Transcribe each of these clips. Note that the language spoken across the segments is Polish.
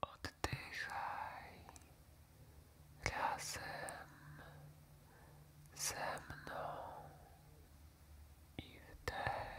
Oddychaj razem ze mną i wdech. I wydech.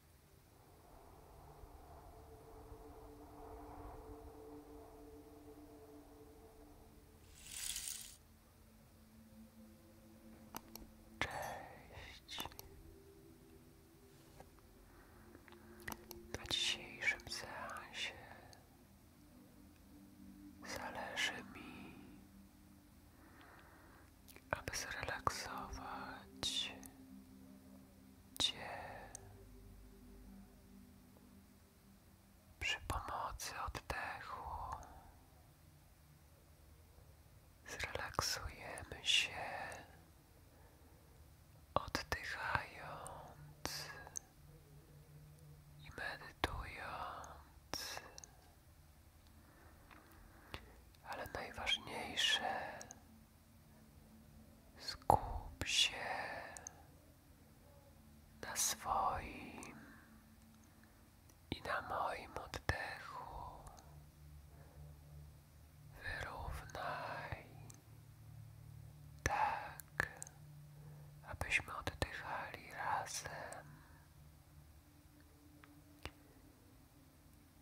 Cześć. Na dzisiejszym seansie zależy mi, aby zrelaksować przy pomocy oddechu zrelaksujemy się, oddychając i medytując, ale najważniejsze Skup się na swoim i na moim oddechu. Wyrównaj tak, abyśmy oddychali razem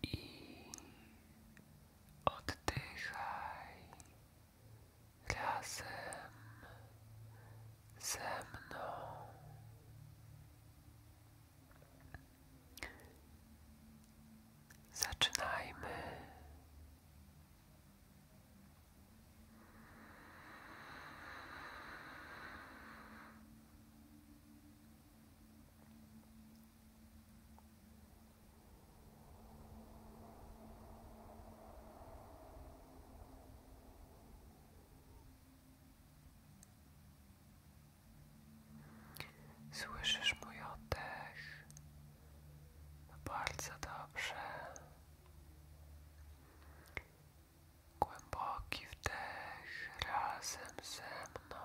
i oddychaj razem ze Zaczynajmy. Słyszysz mój oddech? No bardzo dobrze. Głęboki wdech razem ze mną.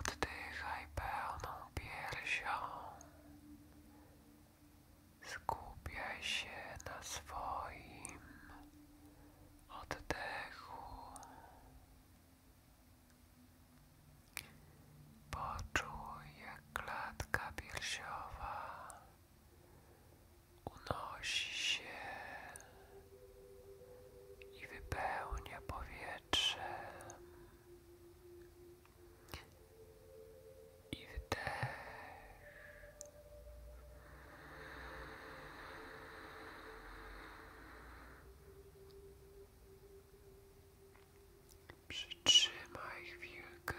Oddychaj pełną piersią. Skupiaj się na swoim oddechu. Poczuj, jak klatka piersiowa unosi się i wypełnia powietrze. I wdech. Przytrzymaj chwilkę,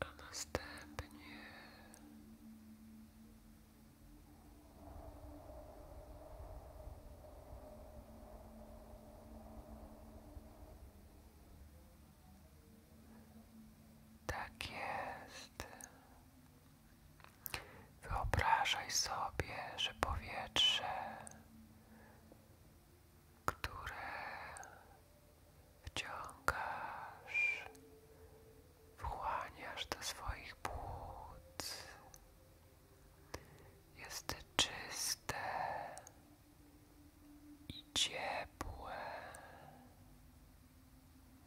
a następnie tak jest. Wyobrażaj sobie, że powietrze, które wciągasz, wchłaniasz do swoich płuc, jest czyste i ciepłe.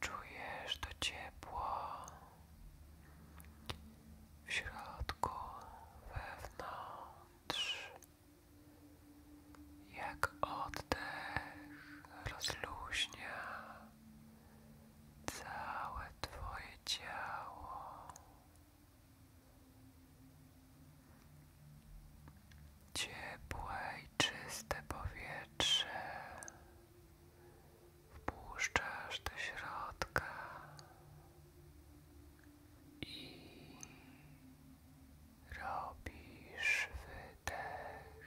Czujesz to ciepło w środku, wewnątrz, jak oddech rozluźnia całe Twoje ciało. Ciepłe i czyste powietrze wpuszczasz do środka i robisz wydech.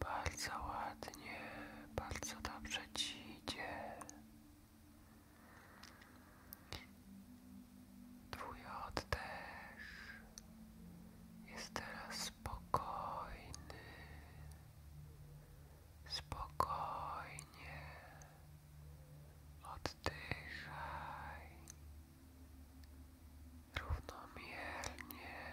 Bardzo ładnie, bardzo dobrze ci idzie. Twój oddech jest teraz spokojny. Spokojnie oddychaj równomiernie.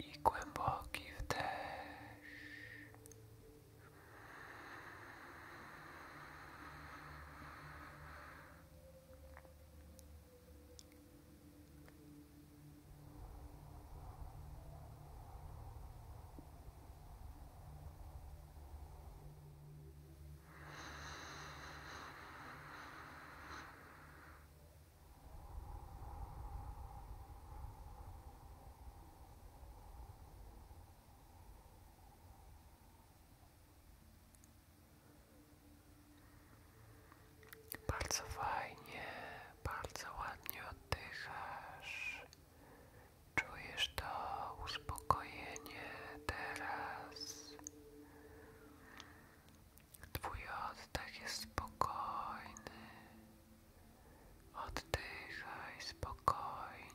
i głęboki wdech. Bardzo fajnie, bardzo ładnie oddychasz. Czujesz to uspokojenie teraz. Twój oddech jest spokojny. Oddychaj spokojnie.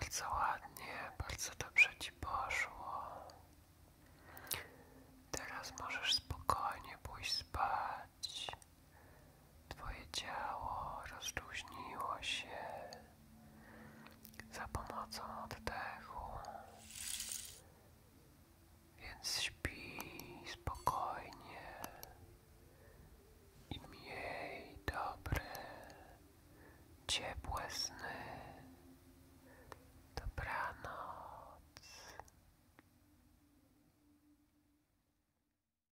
Bardzo ładnie, bardzo dobrze ci poszło. Teraz możesz spokojnie pójść spać. Twoje ciało rozluźniło się za pomocą oddechu, więc śpi spokojnie i miej dobre, ciepłe sny. Dobranoc.